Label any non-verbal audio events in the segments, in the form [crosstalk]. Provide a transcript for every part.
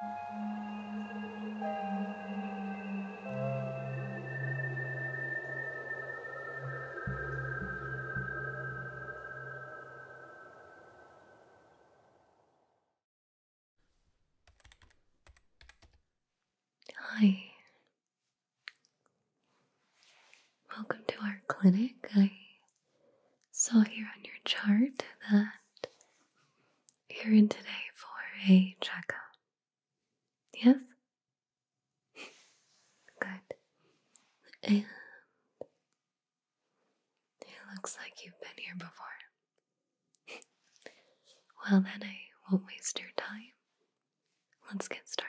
Hi. Welcome to our clinic. I saw here on your chart that you're in today for a checkup. Yes? Good. it looks like you've been here before. well, then I won't waste your time. Let's get started.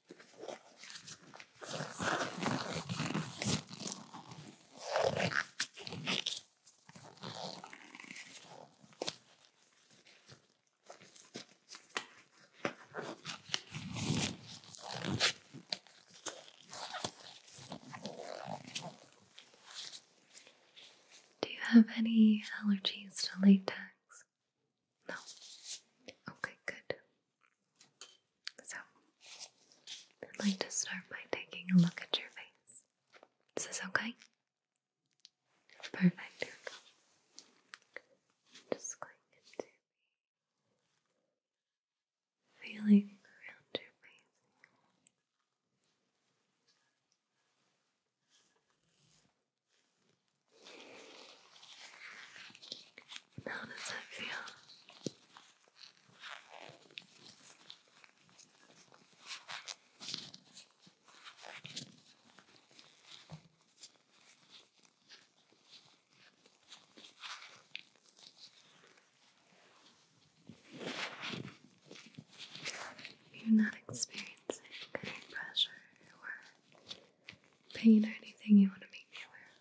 Do you have any allergies to latex? No. Okay, good. So, I'd like to start by taking a look at your face. Is this okay? Perfect. Just going to feeling around your face. How does that feel? You're not experiencing any pressure or pain or anything you want to make sure.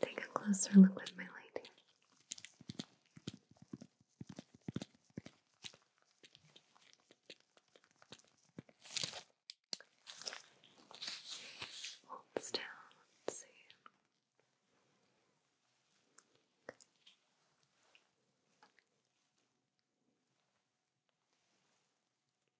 Take a closer look with my light Holds down, let's see.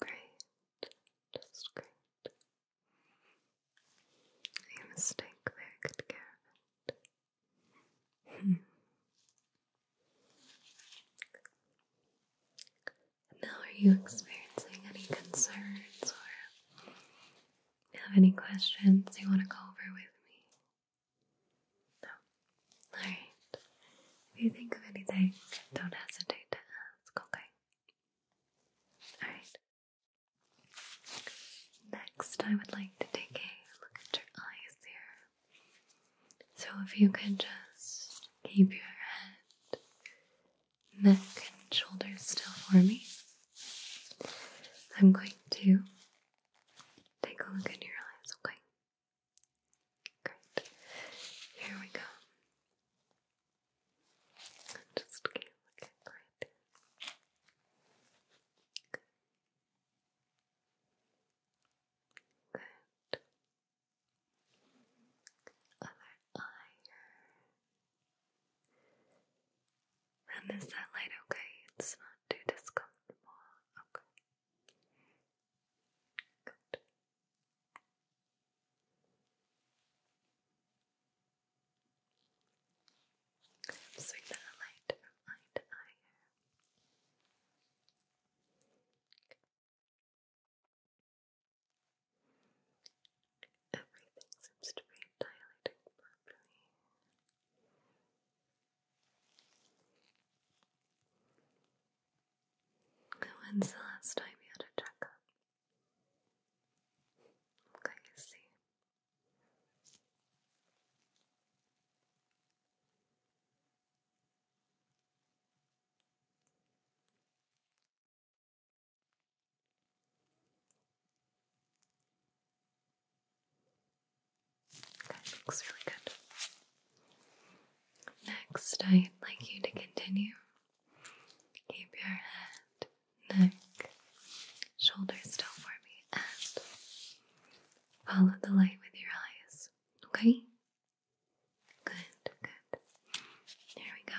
Great. Just great. You mistake very good care now, are you experiencing any concerns or have any questions you want to go over with me? No. Alright. If you think of anything, don't hesitate to ask, okay? Alright. Next, I would like to take a look at your eyes here. So, if you could just keep your head, neck, and shoulders still for me, I'm going to take a look at your eyes, okay? Great. Here we go. And just looking right there. Good. Good. Other eye And is that light okay? It's not too discomfortable. Okay. Good. i swing that light from eye eye Everything seems to be dilating properly. When's the last time you had a checkup? Okay, you see. Okay, looks really good. Next, I'd like you to continue. Keep your head, neck, shoulders still for me, and follow the light with your eyes. Okay? Good, good. There we go.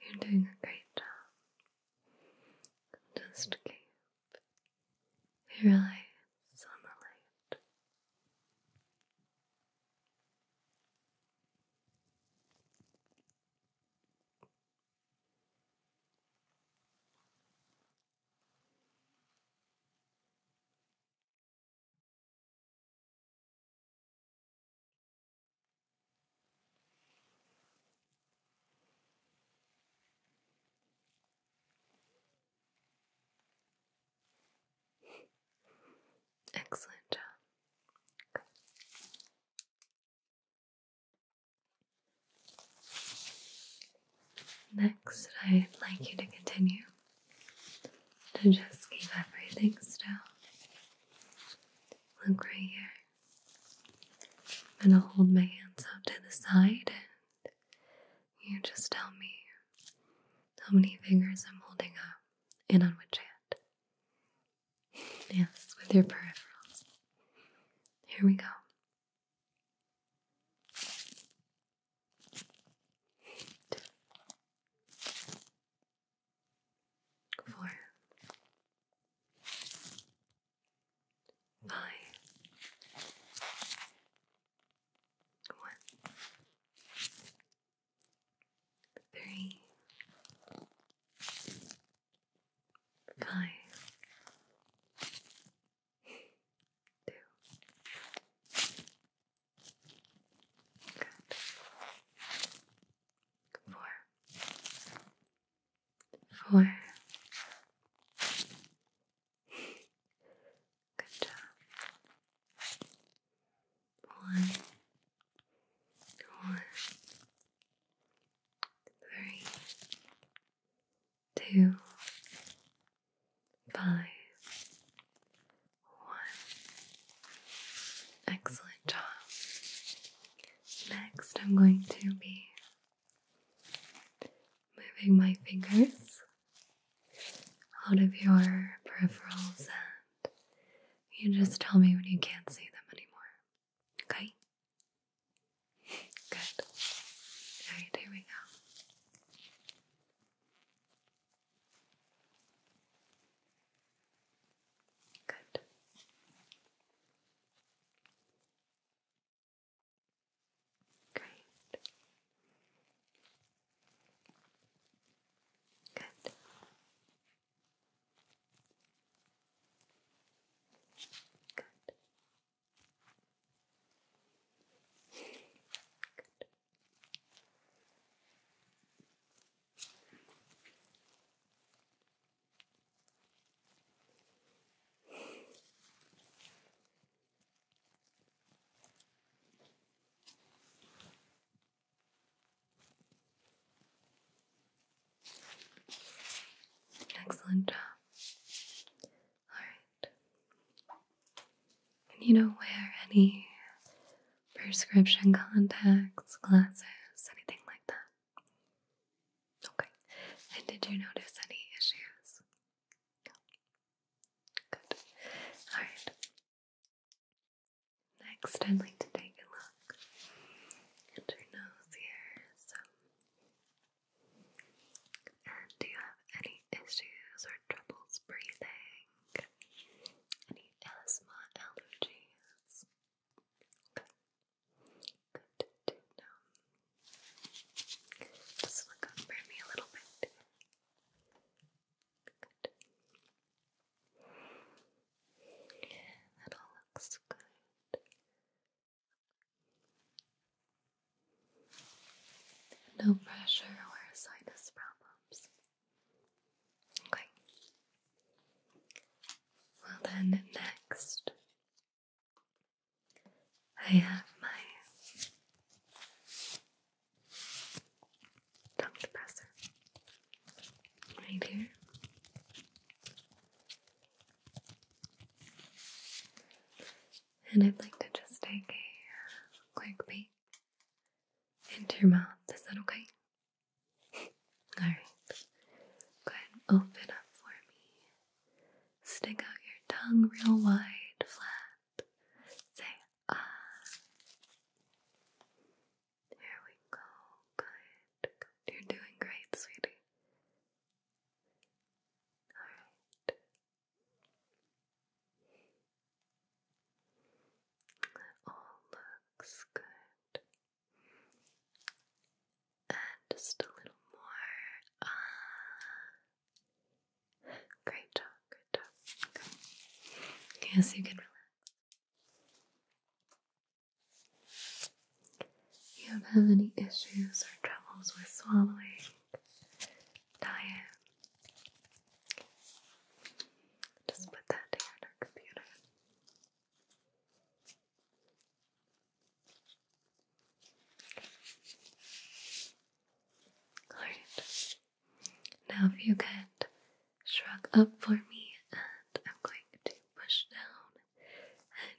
You're doing a great job. Just keep your eyes on the light. Excellent job. Good. Next, I'd like you to continue to just keep everything still. Look right here. i will hold my hands out to the side and you just tell me how many fingers I'm holding up and on which hand. Yes, with your peripherals. Here we go. Four, five, one, three, five, Two. Good. Four. Four. Good job. One. One. Three two, five, one. Excellent job. Next, I'm going to be moving my fingers out of your peripherals, and you just tell me when you can't see them anymore. Okay? Good. Alright, here we go. Good. Great. Good. Good. Excellent job. All right. And you don't wear any prescription contacts, glasses, anything like that. Okay. And did you notice any issues? Good. Alright. Next, I'd like to take a look at your nose here. So do you have any issues or troubles breathing? Any asthma allergies? Good Just look up for me a little bit. Good. that all looks good. No pressure or sinus problems. Okay. Well, then, next, I have my tongue depressor right here. And I'd like to just take a uh, quick bite into your mouth. Is that okay? [laughs] Alright. Go ahead and open up for me. Stick out your tongue real wide, flat. Say ah. There we go. Good. You're doing great, sweetie. Alright. All looks good. And just a little more. Uh, great job, good job. Yes, you can You don't have any issues or troubles with swallowing diet. Just put that there in our computer. Alright. Now if you could shrug up for me and I'm going to push down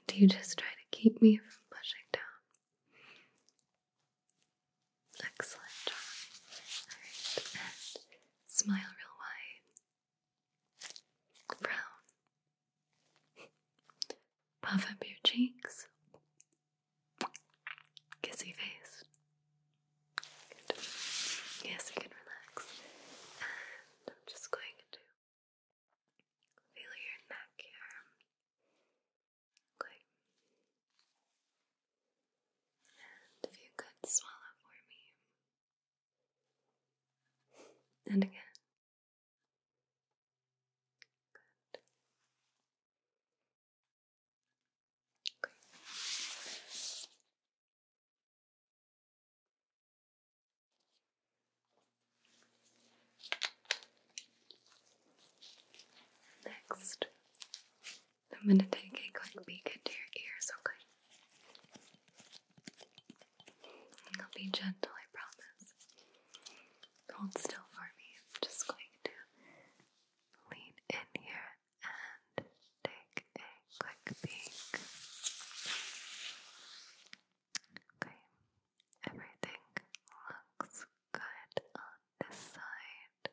and you just try to keep me from pushing down. Excellent Alright, smile real wide. Frown. Puff up your cheeks. Kissy face. Yes, you can relax. And I'm just going to feel your neck here. And if you could swallow for me. And again. Next, I'm going to take a quick peek into your ears, okay? I'll be gentle, I promise. Hold still for me. I'm just going to lean in here and take a quick peek. Okay, Everything looks good on this side.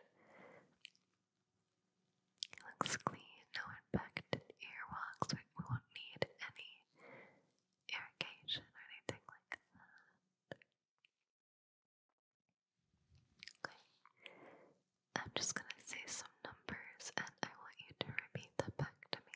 It looks clean, no infected earwax. We, won't need any irrigation or anything like that. Okay. I'm just gonna say some numbers and I want you to repeat them back to me.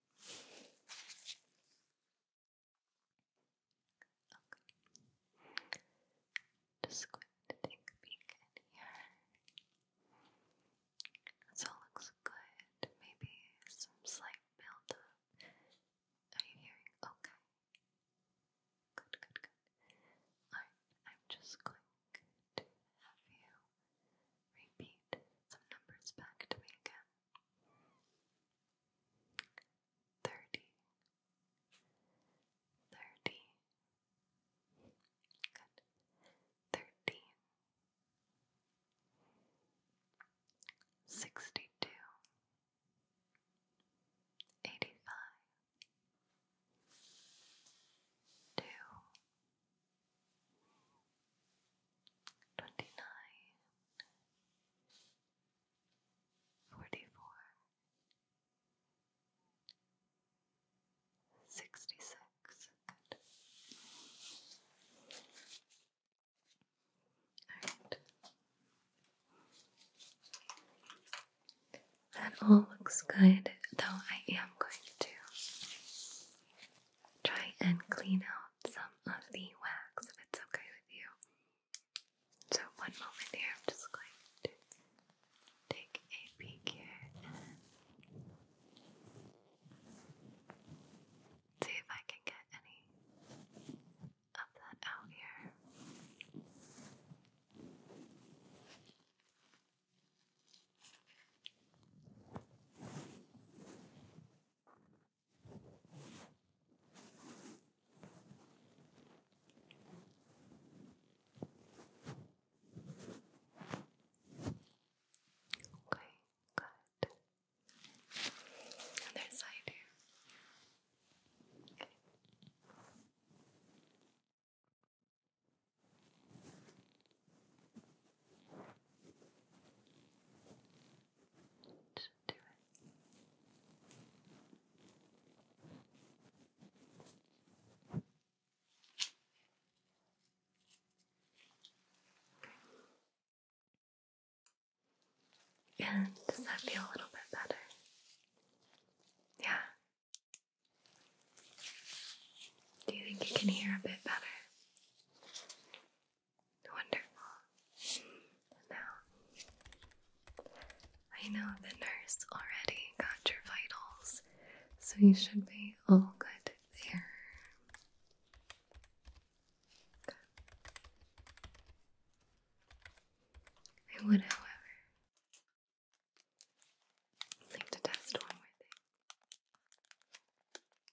Okay. Just going to take a peek in here. This looks good. Maybe some slight buildup. Are you hearing? Okay. Good, good, good. Alright, I'm just going to have you repeat some numbers back to me again. Thirty. Good. Thirteen. Two twenty nine, forty four, sixty six. That all looks good, though I am going to try and clean out some of the wax if it's okay with you. So, one moment here, I'm just going to take a peek here see if I can get any of that out here. Okay, good. Other side here. Okay. Okay. And does that feel a little bit better? Yeah. Do you think you can hear a bit better? Wonderful. Now, I know the nurse already got your vitals, so you should be all good there. I would, however, like to test one more thing.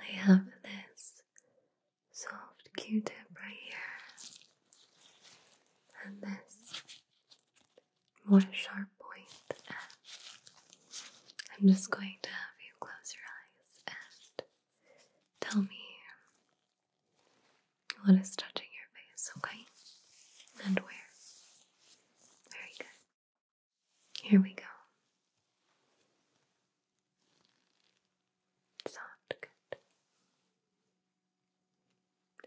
I have this soft Q-tip right here, and this more sharp point. I'm just going to have you close your eyes and tell me what is touching your face, okay? And where? Very good. Here we go. Soft, good.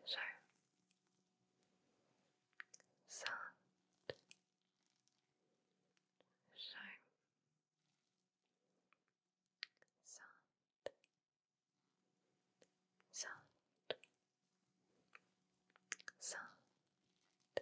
Sharp. Soft. Sharp. Soft. Soft. Soft.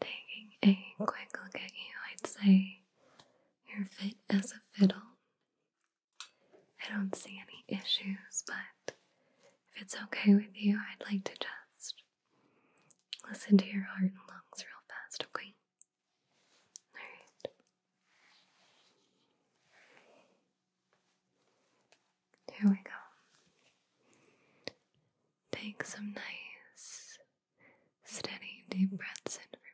Taking a quick look at you, I'd say you're fit as a fiddle. I don't see any issues, but if it's okay with you, I'd like to just listen to your heart and lungs real fast, okay? Alright. Here we go. Take some nice, steady, deep breaths in for me.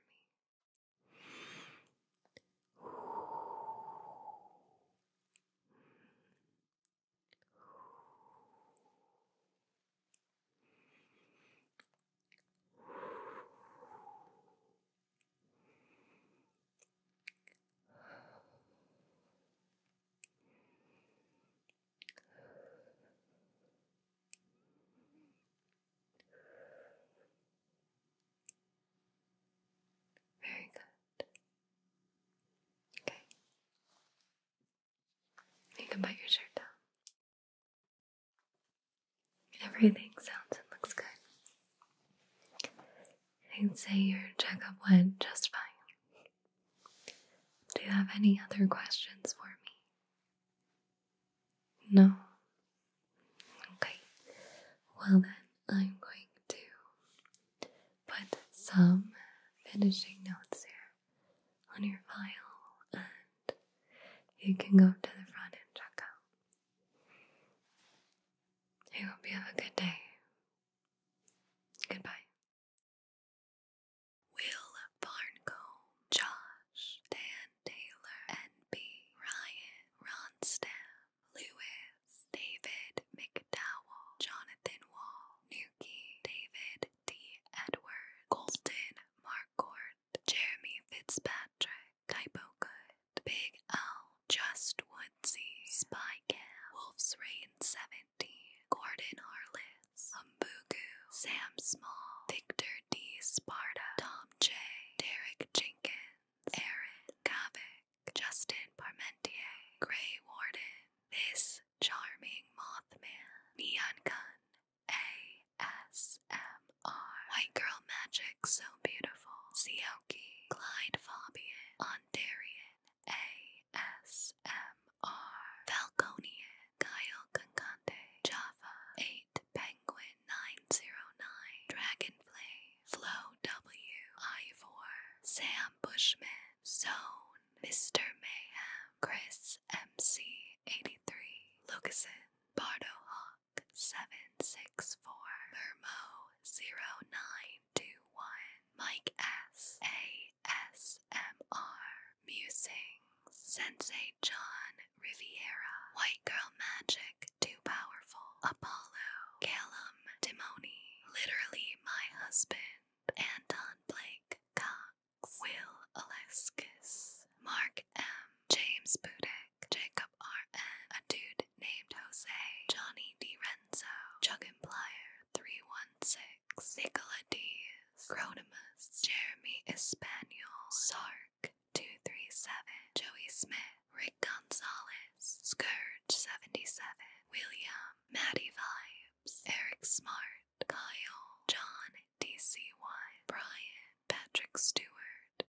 Very good. Okay. You can bite your shirt down. Everything sounds and looks good. I'd say your checkup went just fine. Do you have any other questions for me? No? Okay. Well, then I'm going to put some finishing notes here on your file and you can go to the front and check out. I hope you have a good day. Goodbye. Will Barncombe, Josh, Dan Taylor, N.B., Ryan, Ronstam, Lewis, David McDowell, Jonathan Wall, Nuki, David T. Edward, Colton Marcourt, Jeremy Fitzpatrick, Typo Good, Big L, Just Woodsy, Spy Cam, Wolf's Rain, 70, Gordon Harless, Umbugu, Sam Small, Victor D. Sparta, Tom J, Derek Jenkins, Aaron Kavik, Justin Parmentier, Gray Warden, This Charming Mothman, Neon Gun, ASMR, White Girl Magic So beautiful. Sioki, Clyde Fabian, Ondarian, ASMR, Falconian, Kyle Concante, Java, 8 Penguin 909, Dragonflame, Flo W, Ivor, Sam Bushman, Zone, Mr. Mayhem, Chris MC83, Lucasen, Bardo 764, Mermo 0921, Mike S. ASMR, Sensei John Riviera, White Girl Magic, Too Powerful, Apollo, Callum Timoni, Literally My Husband, Anton Blake Cox, Will Aleskis, Mark M. James Bude, Black, Jacob R.N., a dude named Jose, Johnny DiRenzo, Chuggin Plier 316, Nicola Diaz, Cronimus, Jeremy Espanol, Sark 237, Joey Smith, Rick Gonzalez, Scourge 77, William, Maddie Vibes, Eric Smart, Kyle, John DC1, Brian, Patrick Stewart.